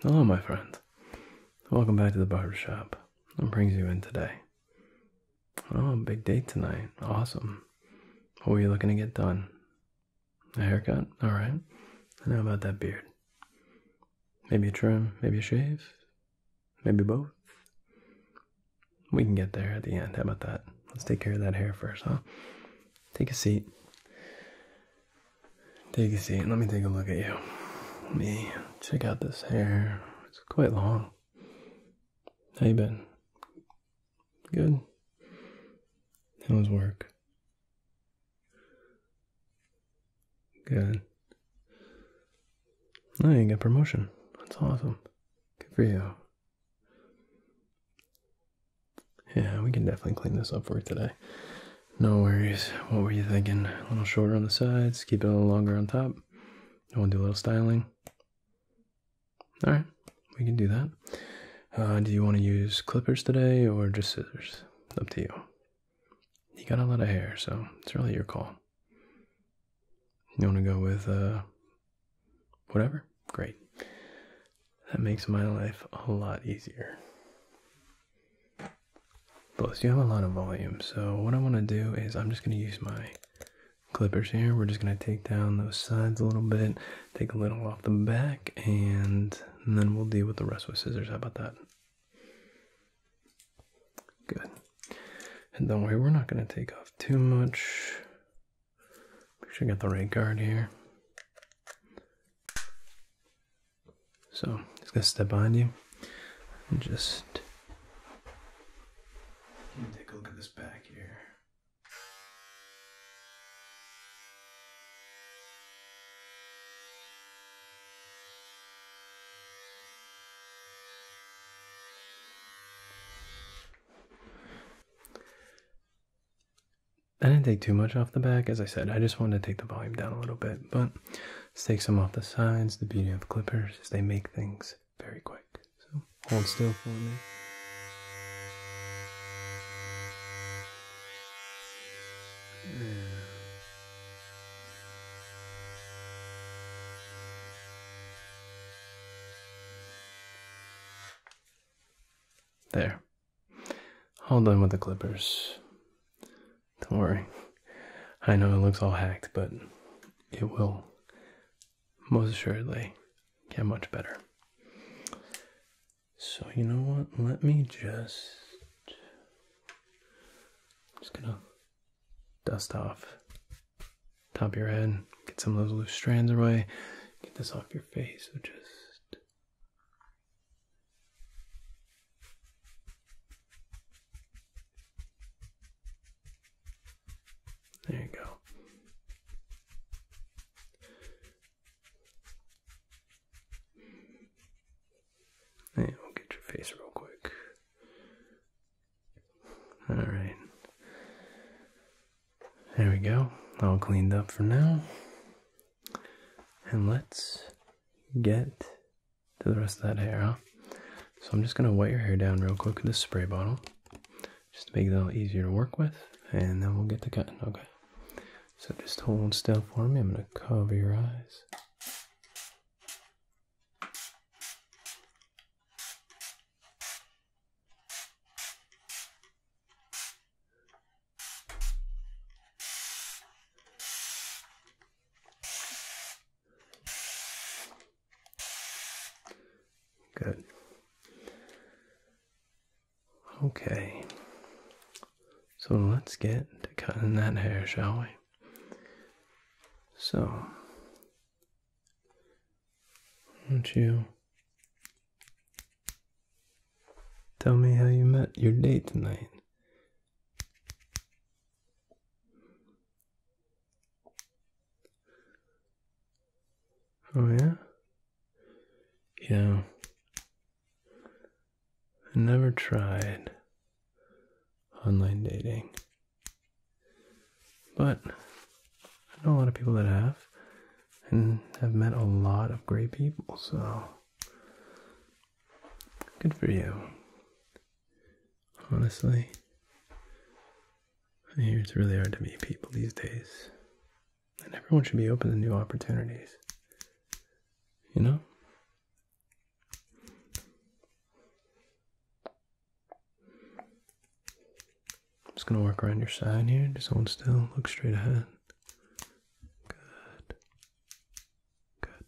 Hello, my friend. Welcome back to the barbershop. What brings you in today? Oh, big date tonight. Awesome. What were you looking to get done? A haircut? Alright. I know about that beard. Maybe a trim, maybe a shave, maybe both. We can get there at the end. How about that? Let's take care of that hair first, huh? Take a seat. Take a seat. Let me take a look at you. Let me check out this hair. It's quite long. How you been? Good. How's work? Good. Oh, you got promotion. That's awesome. Good for you. Yeah, we can definitely clean this up for today. No worries. What were you thinking? A little shorter on the sides, keep it a little longer on top. I want to do a little styling. All right, we can do that. Uh, do you want to use clippers today or just scissors? Up to you. You got a lot of hair, so it's really your call. You want to go with uh, whatever? Great. That makes my life a lot easier. Plus, you have a lot of volume, so what I want to do is I'm just going to use my clippers here. We're just going to take down those sides a little bit, take a little off the back, and, then we'll deal with the rest with scissors. How about that? Good. And don't worry, we're not going to take off too much. Make sure I got the right guard here. So he's gonna step on you and just take a look at this back here. I didn't take too much off the back, as I said, I just wanted to take the volume down a little bit, but let's take some off the sides. The beauty of clippers is they make things very quick. So hold still for me. There. All done with the clippers. Don't worry. I know it looks all hacked, but it will most assuredly get much better. So, you know what? Let me just. Just gonna dust off top of your head, get some of those loose strands away, get this off your face. So just there you go. Hey, get your face real quick. Alright. There we go. All cleaned up for now. And let's get to the rest of that hair, So I'm just going to wet your hair down real quick with this spray bottle, just to make it a little easier to work with, and then we'll get to cutting, okay? So just hold still for me, I'm going to cover your eyes. Good. Okay. So let's get to cutting that hair, shall we? So, will not you Tell me how you met your date tonight. Oh, yeah? Yeah. I never tried online dating. But I know a lot of people that have, and have met a lot of great people, so Good for you. Honestly, I hear it's really hard to meet people these days. And everyone should be open to new opportunities. You know? I'm just gonna work around your side here. Just hold still, look straight ahead. Good. Good.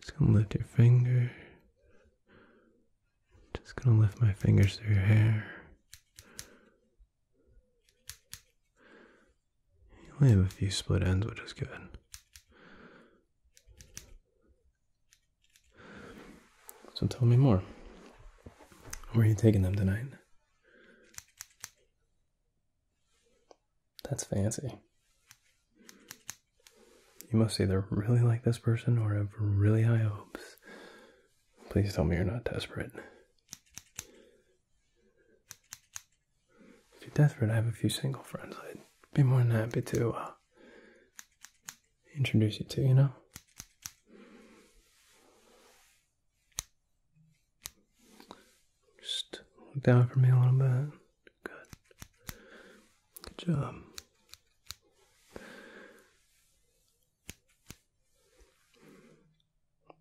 Just gonna lift your finger. Just gonna lift my fingers through your hair. You only have a few split ends, which is good. So tell me more. Where are you taking them tonight? That's fancy. You must either really like this person or have really high hopes. Please tell me you're not desperate. If you're desperate, I have a few single friends. I'd be more than happy to uh, introduce you to, you know? Just look down for me a little bit. Good. Good job.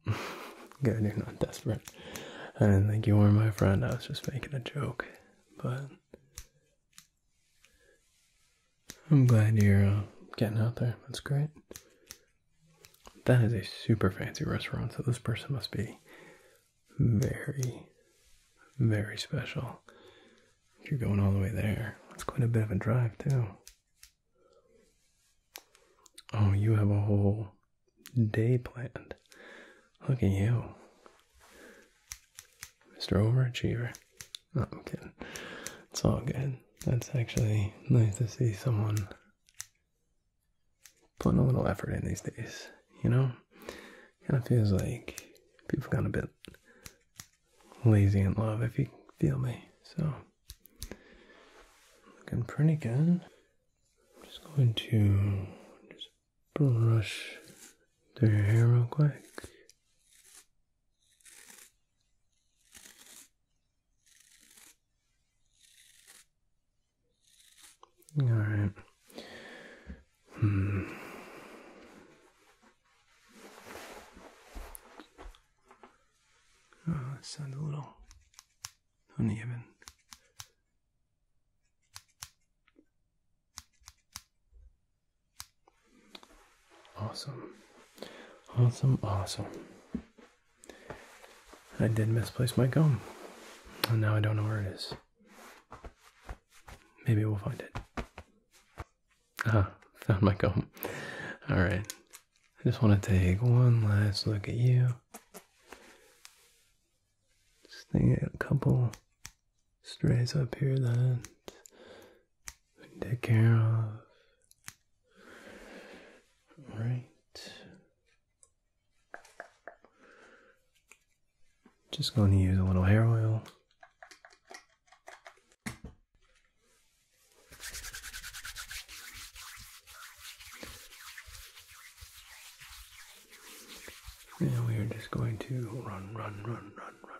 Good, you're not desperate. I didn't think you were my friend, I was just making a joke. But I'm glad you're uh, getting out there. That's great. That is a super fancy restaurant, so this person must be very, very special. If you're going all the way there, that's quite a bit of a drive, too. Oh, you have a whole day planned. Look at you, Mr. Overachiever. Oh, I'm kidding. It's all good. That's actually nice to see someone putting a little effort in these days. You know, kind of feels like people got a bit lazy in love. If you feel me, so looking pretty good. I'm just going to just brush their hair real quick. All right. Hmm. Oh, ah, sounds a little uneven. Awesome. Awesome, awesome. I did misplace my gum. And now I don't know where it is. Maybe we'll find it. Ah, found my gum. Alright. I just want to take one last look at you. Just take a couple strays up here that we take care of. All right. Just going to use a little hair oil. And we are just going to run, run, run, run, run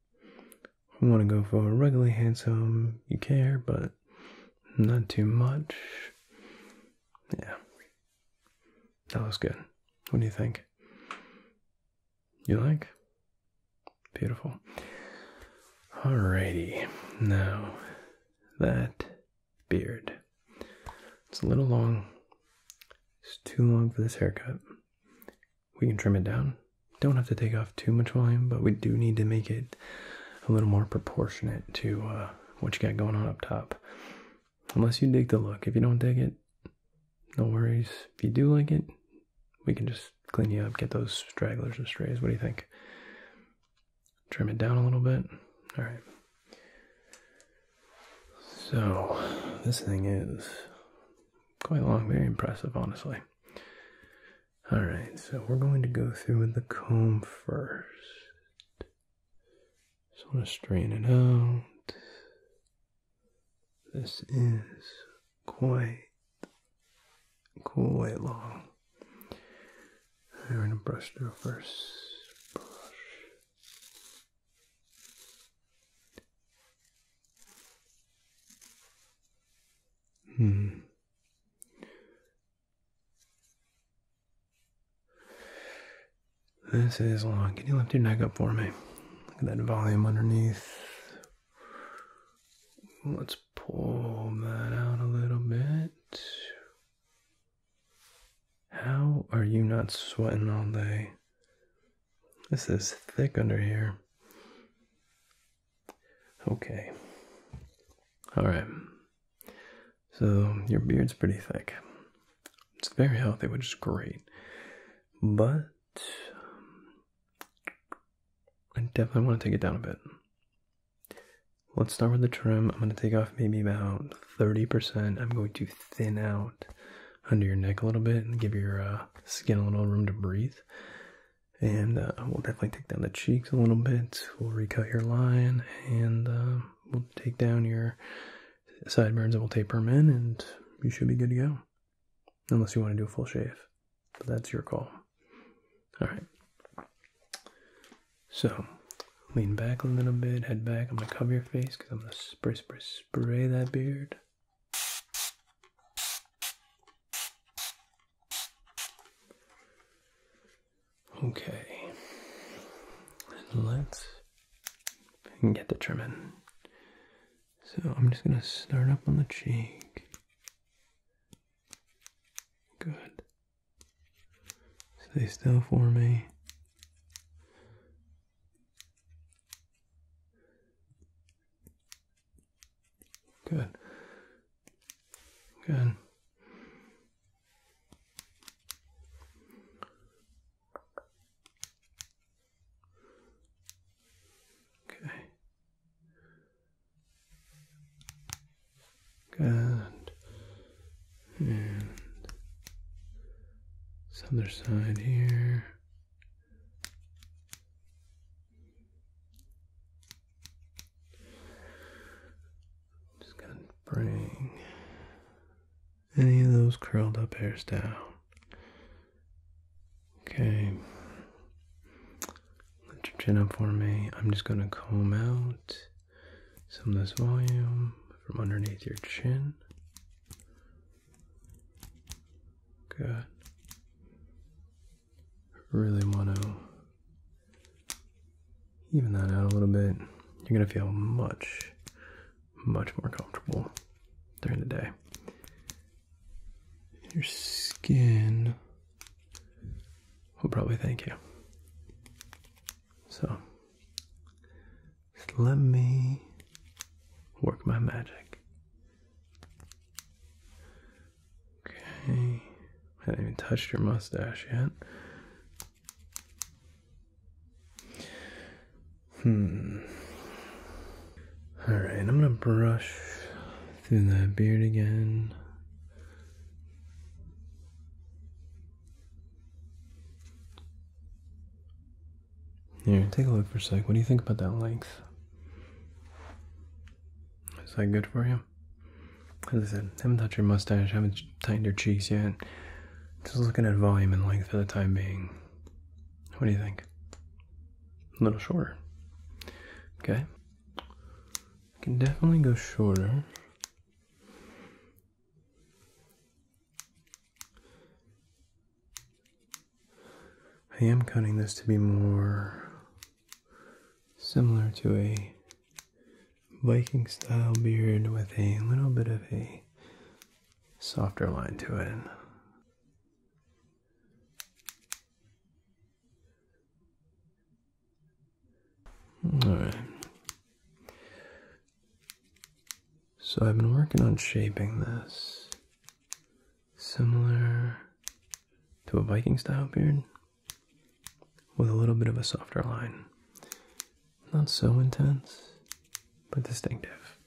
I want to go for a regularly handsome, you care, but not too much. Yeah. That looks good. What do you think? You like? Beautiful. Alrighty. Now, that beard. It's a little long. It's too long for this haircut we can trim it down. Don't have to take off too much volume, but we do need to make it a little more proportionate to uh, what you got going on up top. Unless you dig the look. If you don't dig it, no worries. If you do like it, we can just clean you up, get those stragglers and strays. What do you think? Trim it down a little bit. All right. So, this thing is quite long, very impressive, honestly. All right, so we're going to go through with the comb first. Just want to straighten it out. This is quite quite long. I'm going to brush through first. Brush. Hmm. This is long. Can you lift your neck up for me? Look at that volume underneath. Let's pull that out a little bit. How are you not sweating all day? This is thick under here. Okay. Alright. So your beard's pretty thick. It's very healthy, which is great. But I definitely want to take it down a bit. Let's start with the trim. I'm going to take off maybe about 30%. I'm going to thin out under your neck a little bit and give your uh, skin a little room to breathe and uh, we'll definitely take down the cheeks a little bit. We'll recut your line, and um, we'll take down your sideburns, and we'll taper them in, and you should be good to go. Unless you want to do a full shave, but that's your call. All right. So, lean back a little bit, head back. I'm gonna cover your face because I'm gonna spray, spray, spray that beard. Okay, let's get the trim So I'm just going to start up on the cheek. Good. Stay still for me. Good. Good. Okay. Good. And this other side here. Just gonna bring any of those curled up hairs down. Okay. Let your chin up for me. I'm just gonna comb out some of this volume from underneath your chin. Good. Really want to even that out a little bit. You're going to feel much, much more comfortable during the day. Your skin will probably thank you. So, let me work my magic. Okay. I haven't even touched your mustache yet. Hmm. Alright, I'm gonna brush through that beard again. Here, take a look for a sec. What do you think about that length? Is that good for you? As I said, haven't touched your mustache, haven't tightened your cheeks yet. Just looking at volume and length for the time being. What do you think? A little shorter. Okay. Can definitely go shorter. I am cutting this to be more similar to a Viking style beard with a little bit of a softer line to it. All right. So I've been working on shaping this similar to a Viking style beard with a little bit of a softer line. Not so intense, but distinctive.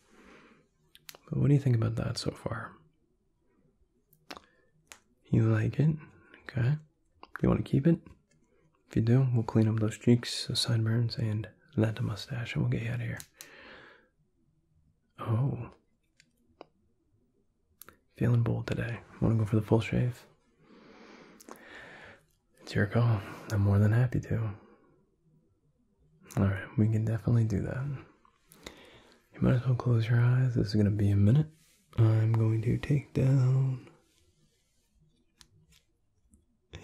But what do you think about that so far? You like it? Okay. Do You want to keep it? If you do, we'll clean up those cheeks, the sideburns, and that the mustache, and we'll get you out of here. Oh. Feeling bold today. Want to go for the full shave? It's your call. I'm more than happy to. Alright, we can definitely do that. You might as well close your eyes. This is going to be a minute. I'm going to take down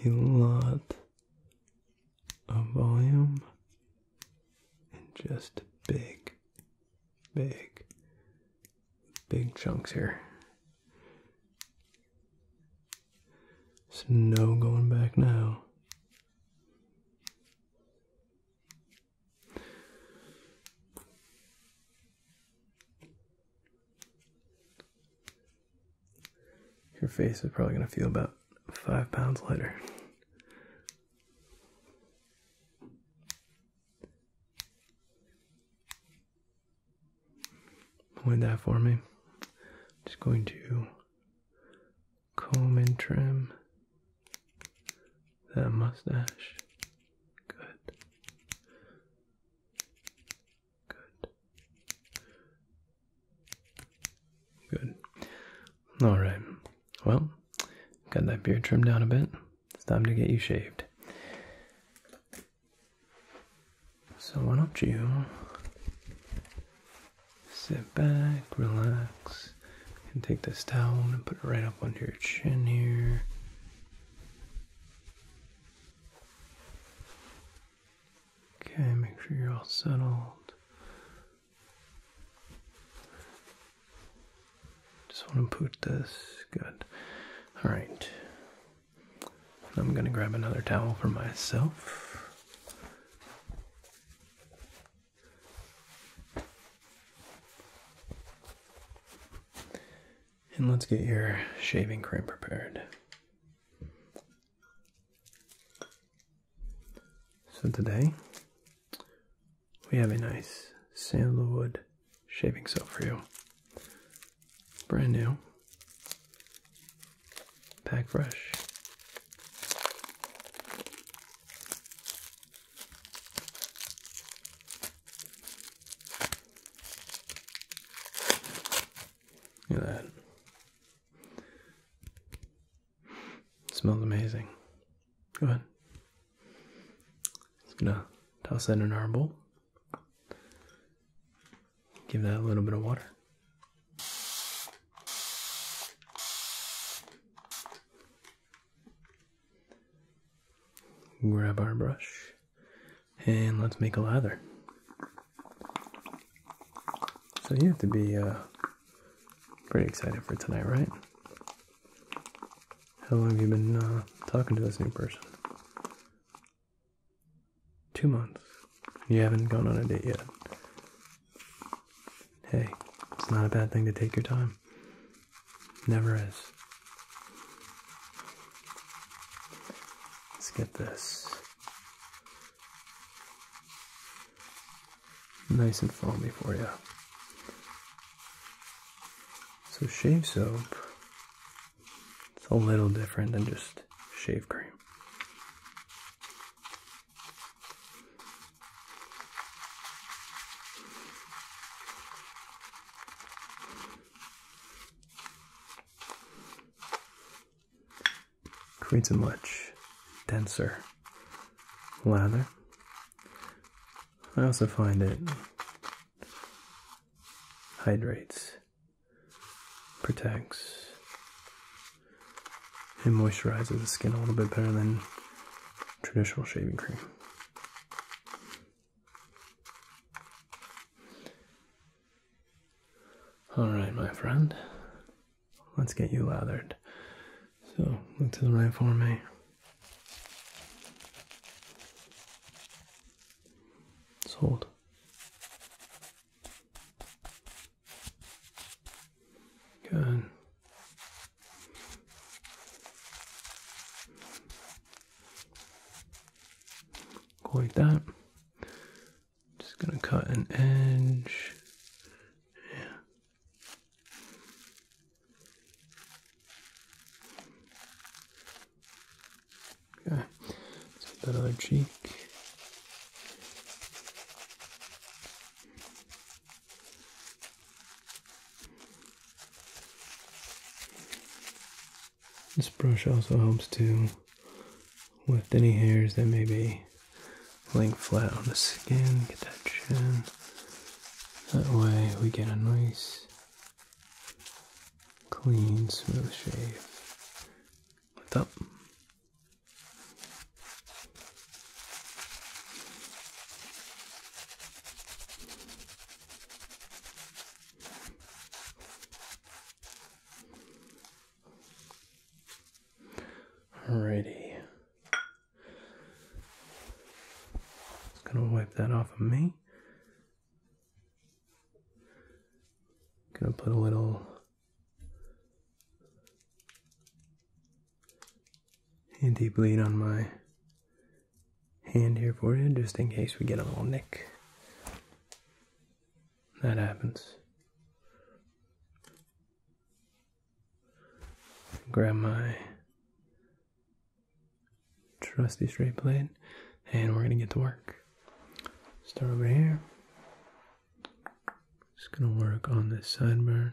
a lot a volume and just big, big, big chunks here. There's no going back now. Your face is probably going to feel about five pounds lighter. Point that for me, just going to comb and trim that mustache. Good. Good. Good. All right. Well, got that beard trimmed down a bit. It's time to get you shaved. So why don't you sit back, relax, and take this towel and put it right up under your chin here. Okay, make sure you're all settled. Just want to put this. Good. All right. I'm going to grab another towel for myself. And let's get your shaving cream prepared. So today we have a nice sandalwood shaving soap for you. Brand new. Pack fresh. Look at that smells amazing. Go ahead. Just gonna toss that in our bowl. Give that a little bit of water. Grab our brush and let's make a lather. So you have to be uh, pretty excited for tonight, right? How long have you been uh, talking to this new person? Two months. You haven't gone on a date yet. Hey, it's not a bad thing to take your time. Never is. Let's get this nice and foamy for you. So shave soap, it's a little different than just shave cream creates a much denser lather. I also find it hydrates, protects, and moisturizes the skin a little bit better than traditional shaving cream. All right, my friend. Let's get you lathered. So, look to the right for me. Sold. Good. Go like that. Just gonna cut an edge. Yeah. Okay, so that other cheek. This brush also helps too. With any hairs that may be laying flat on the skin. Get that chin. That way we get a nice, clean, smooth shave. Lift up. Alrighty. Just gonna wipe that off of me. Gonna put a little anti bleed on my hand here for you, just in case we get a little nick that happens. Grab my trusty straight blade, and we're gonna get to work. Start over here. Just gonna work on this sideburn.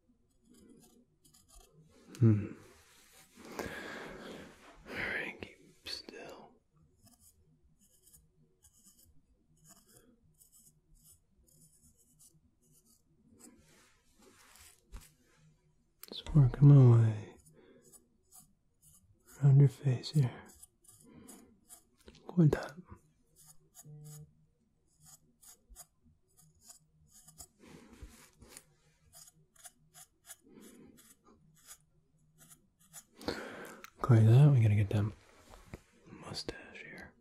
Hmm. Alright, keep still. Just working my way around your face here. Good. Like that. We gotta get that mustache here.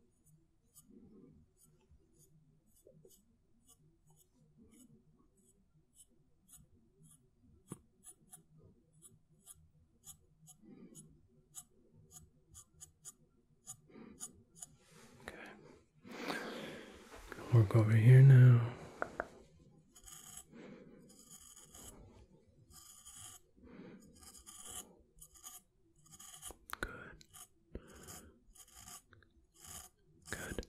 Okay. going work over here now. Good. Good.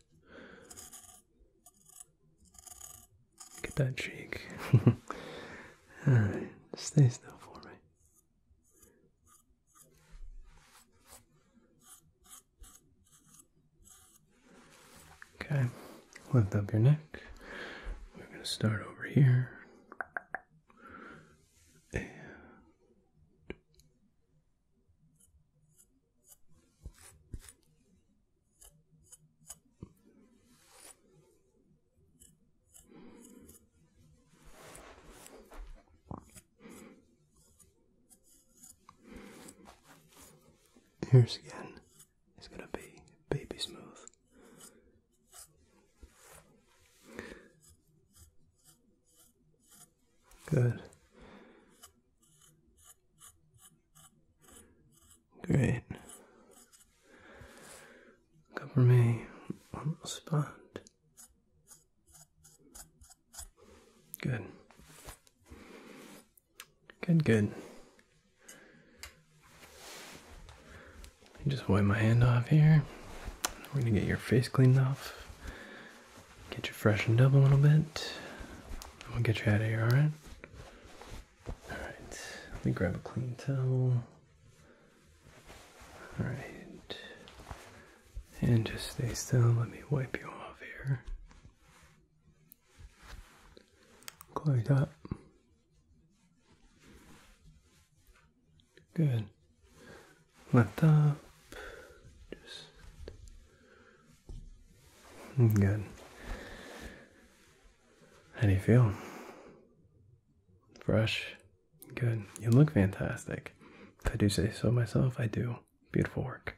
Get that cheek. stay still for me. Okay, lift up your neck. We're going to start over here. Here's again. It's gonna be baby smooth. Good. Great. Cover me on the spot. Good. Good, good. Just wipe my hand off here. We're gonna get your face cleaned off. Get you freshened up a little bit. We'll get you out of here, alright? Alright, let me grab a clean towel. Alright. And just stay still. Let me wipe you off here. Quite up. Good. Lift up. Just good. How do you feel? Fresh. Good. You look fantastic. If I do say so myself, I do. Beautiful work.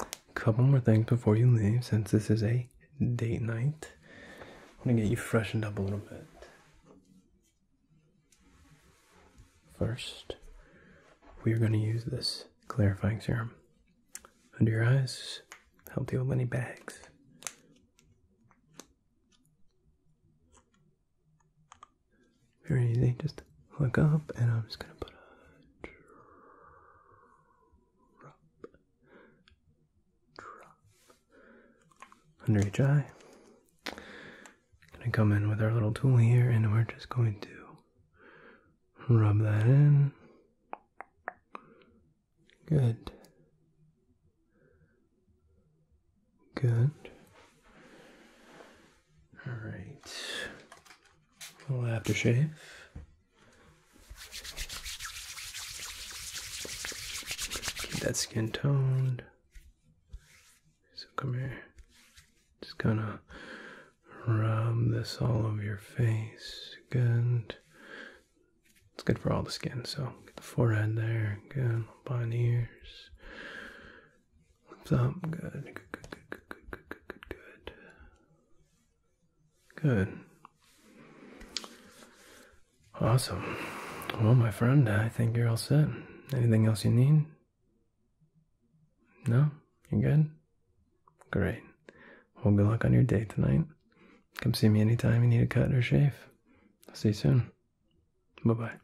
A Couple more things before you leave, since this is a date night. I'm gonna get you freshened up a little bit. First, we are gonna use this clarifying serum under your eyes. Help deal with any bags. Very easy. Just look up, and I'm just gonna put a drop, under each eye. Gonna come in with our little tool here, and we're just going to rub that in. Good. Good. All right. A little aftershave. Keep that skin toned. So come here. Just gonna rub this all over your face. Good. It's good for all the skin. So get the forehead there. Good. Behind the ears. So good. Good, good, good, good, good, good, good, good, good. Good. Awesome. Well, my friend, I think you're all set. Anything else you need? No? You good? Great. Well, good luck on your day tonight. Come see me anytime you need a cut or shave. I'll see you soon. Bye bye.